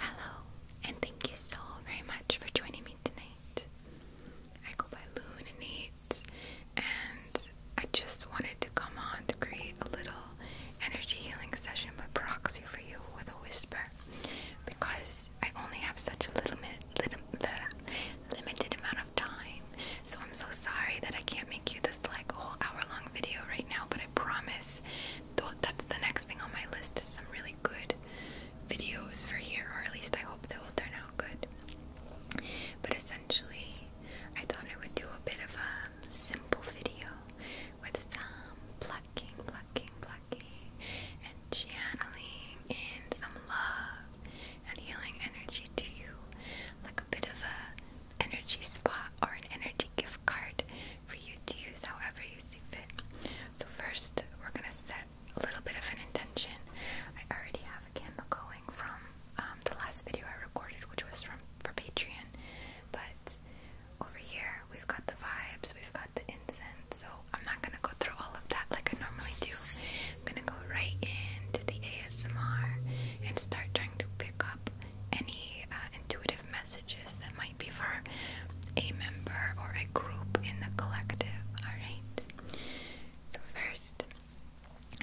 Hello, and thank you so very much for joining me tonight. I go by Luninate, and I just wanted to come on to create a little energy healing session by proxy for you with a whisper because I only have such a little, little limited amount of time. So I'm so sorry that I can't make you this like whole hour long video right now, but I promise that's the next thing on my list is some really good videos for here, or at least I hope they will turn out good. But essentially, I thought I would do a bit of a simple video with some plucking, plucking, plucking, and channeling in some love and healing energy to you, like a bit of a energy spot or an energy gift card for you to use however you see fit. So first, we're gonna set a little bit of an intention. I already have a candle going from um, the last video I recorded, which was from for Patreon, but over here we've got the vibes, we've got the incense. So I'm not gonna go through all of that like I normally do. I'm gonna go right into the ASMR and start trying to pick up any uh, intuitive messages that might might a member or a group in the collective. Alright? So, first,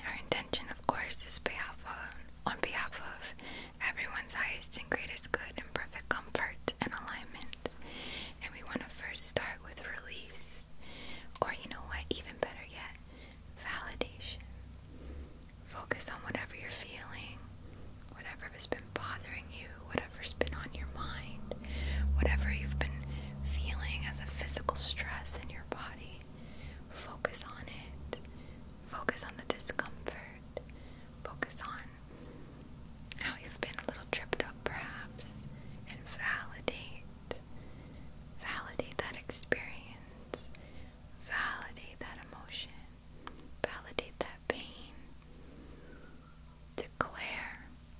our intention, of course, is behalf of, on behalf of everyone's highest and greatest good and perfect comfort and alignment. And we want to first start with release, or you know what, even better yet, validation. Focus on whatever you're feeling, whatever has been bothering you, whatever's been on your mind, whatever you've been feeling as a physical stress in your body. Focus on it. Focus on the discomfort. Focus on how you've been a little tripped up, perhaps, and validate. Validate that experience. Validate that emotion. Validate that pain. Declare,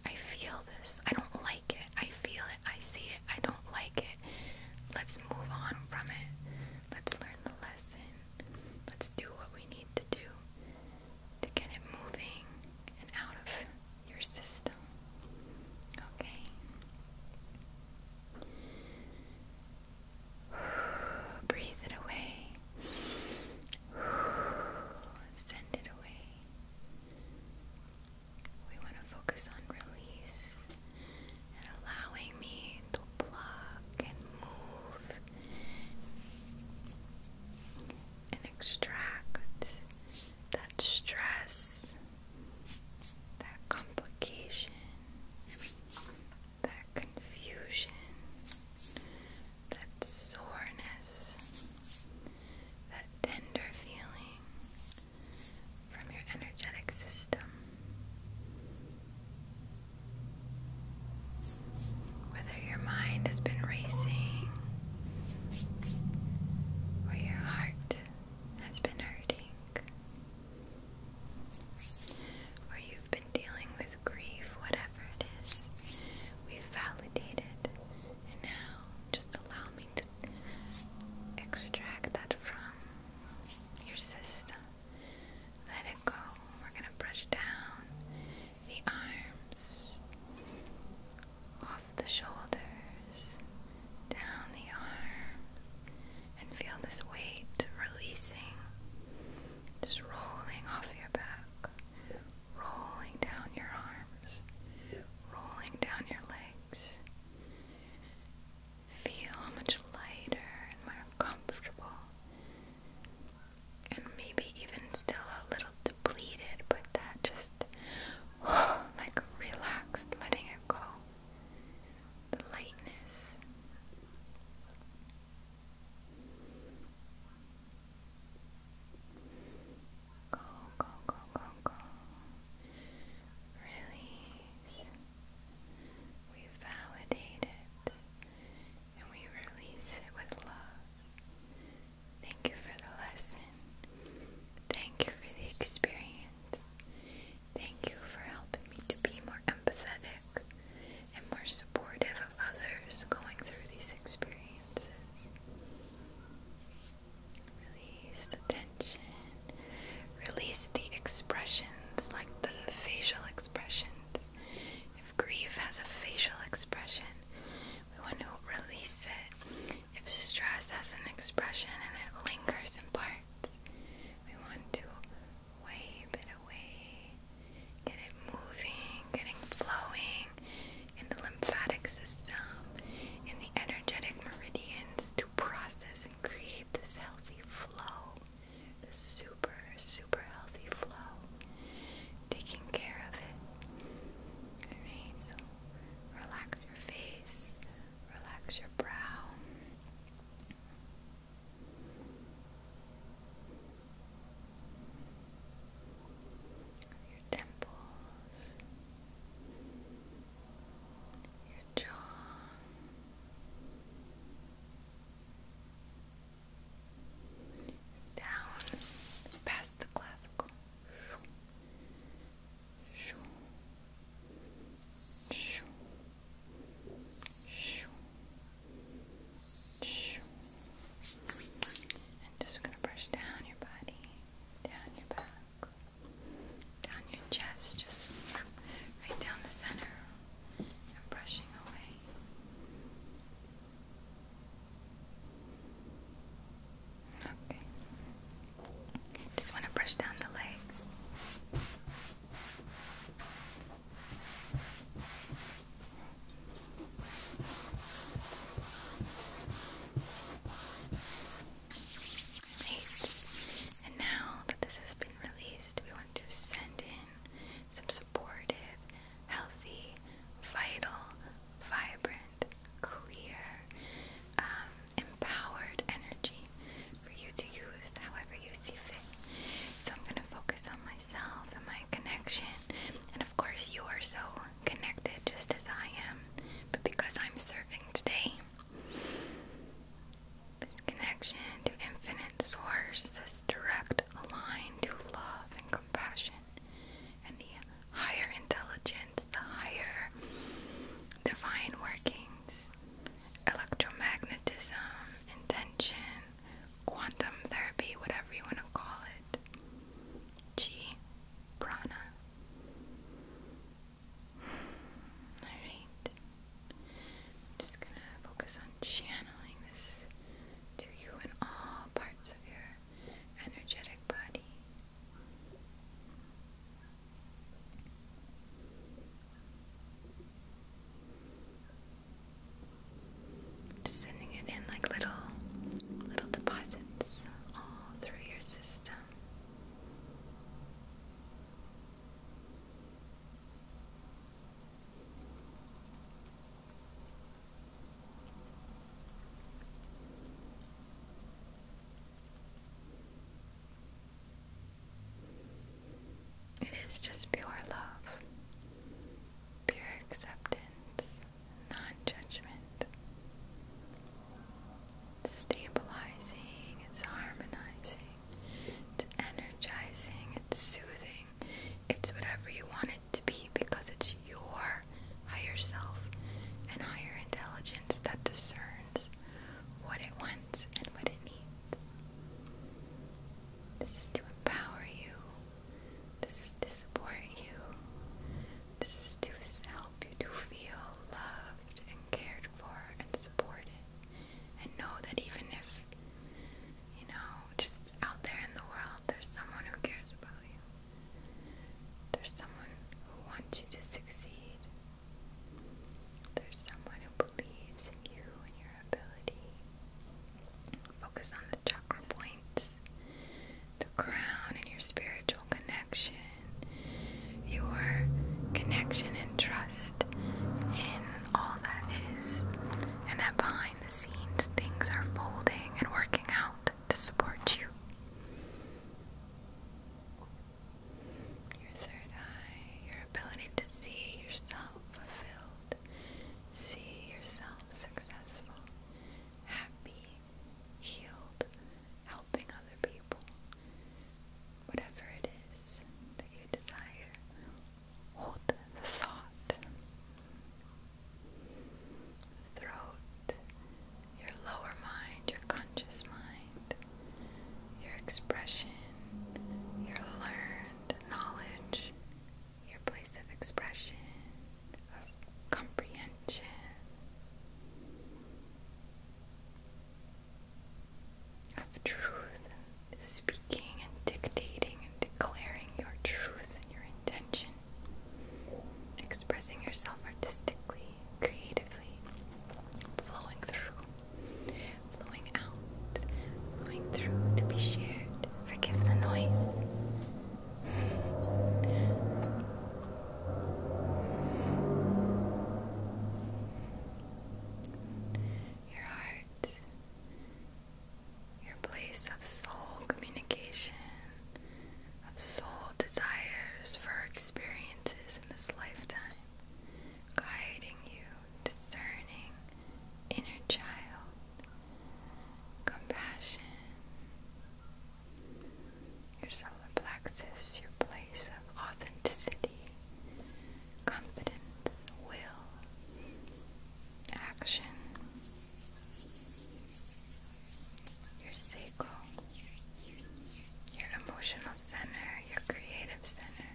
I feel this. I don't like it. I feel it. I see it. I don't like it. Let's move on from it. Let's learn the lesson. Let's do what we need to do to get it moving and out of your system. Okay? Breathe it away. Send it away. We want to focus on release and allowing me to pluck and move and extract that stress, that complication that confusion, that soreness, that tender feeling from your energetic system. Whether your mind has been racing or your heart has been hurting, or you've been dealing with grief, whatever it is, we've validated. And now just allow me to extract that from your system. Let it go. We're going to brush down the arms, off the shoulders, down the arms, and feel this weight releasing, just rolling off your back, rolling down your arms, rolling down your legs. Feel how much lighter and more comfortable, and maybe even still a little depleted, but that just like relaxed, letting it go the lightness. Go, go, go, go, go. Release. We validate it and we release it with love. Thank you for the lesson. Thank you for the experience. Thank you for helping me to be more empathetic and more supportive of others going through these experiences. Release the tension. Release the expressions, like the facial expressions. If grief has a facial expression, we want to release it. If stress has an expression and it lingers in parts, we want to wave it away, get it moving, getting flowing in the lymphatic system, in the energetic meridians to process and create this healthy flow, this super, super healthy flow, taking care of it. Alright, so relax your face, relax your brow your temples, your jaw. Down past the clavicle. Shoo. Shoo. Shoo. And just gonna brush down your body, down your back, down your chest, just right down the center, and brushing away. Okay. Just want to brush down the legs. And now that this has been released, we want to send in some supportive, healthy, vital, vibrant, clear, um, empowered energy for you to use however you see fit. So I'm going to focus on myself and my connection. And of course, you are so connected just as I am. But because I'm serving today, this connection to infinite source, this direct line to love and compassion, and the higher intelligence, the higher divine working electromagnetism, intention, quantum therapy, whatever you want to call it. Chi prana. Alright. just gonna focus on channeling this to you in all parts of your energetic body. Just sending it in like little little deposits all through your system. It is just pure love, pure acceptance, non judgment. It's stabilizing, it's harmonizing, it's energizing, it's soothing, it's whatever you want it to be because it's your higher self and higher intelligence that discerns what it wants and what it needs. This is to empower you. This is to support you. This is to help you to feel loved and cared for and supported. And know that even if, you know, just out there in the world, there's someone who cares about you. There's someone who wants you to succeed. There's someone who believes in you and your ability. Focus on the chakra points, the crown, and your spiritual connection, your connection and trust in all that is, and that behind the scenes things are folding and working out to support you. Your third eye, your ability to see yourself fulfilled, see yourself successful, happy, healed, helping other people, whatever it is that you desire. Hold the thought. Throat, your lower mind, your conscious mind your expression, your learned knowledge, your place of expression, of comprehension. Of truth, speaking and dictating and declaring your truth and your intention, expressing yourself artistically, creatively flowing through, flowing out, flowing through to be shared. Forgive the noise. Your heart, your place of soul communication, of soul desires for experiences in this lifetime guiding you, discerning inner child, compassion, your solar plexus, your place of authenticity, confidence, will, action, your sacral your emotional center, your creative center,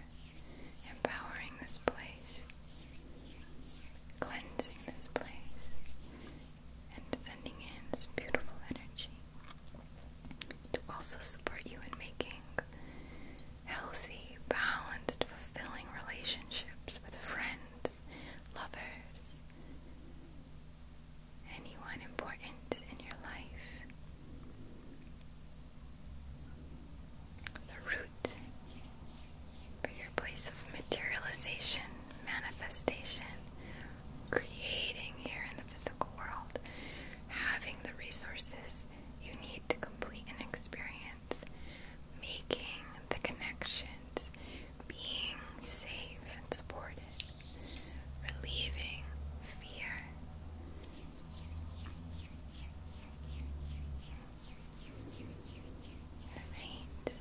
empowering this place, cleansing this place, and sending in this beautiful energy to also support you in making healthy, balanced, fulfilling relationships with friends, lovers, anyone important in your life. The root for your place of materialization, manifestation, creating here in the physical world, having the resources you need to complete an experience, making the connections, being safe and supported relieving fear. Alright.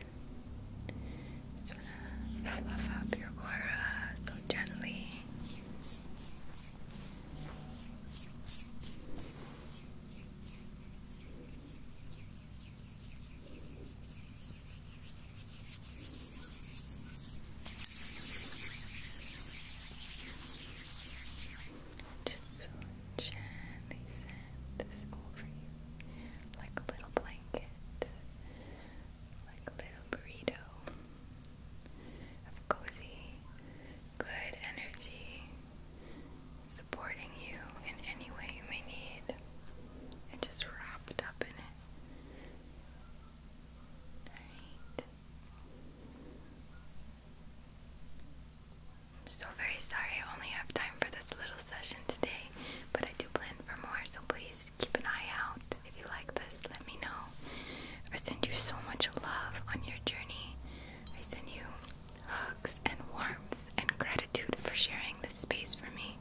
Just wanna fluff up your aura so gently. Just gently send this over you like a little blanket, like a little burrito of cozy, good energy supporting you in any way you may need. It's just wrapped up in it. I'm so very sorry I only have time for this little session today, but I do plan for more, so please keep an eye out. If you like this, let me know. I send you so much love on your journey. I send you hugs and warmth and gratitude for sharing this space for me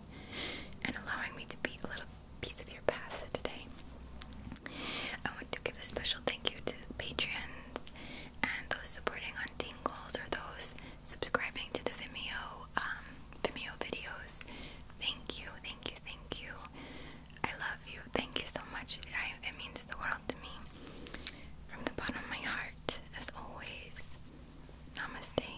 and allowing me to be a little piece of your path today. I want to give a special thank you to Patreons and those supporting on Tingles or those subscribing to the Vimeo um, Vimeo videos. Thank you, thank you, thank you. I love you. Thank you so much. it means the world to me. From the bottom of my heart, as always. Namaste.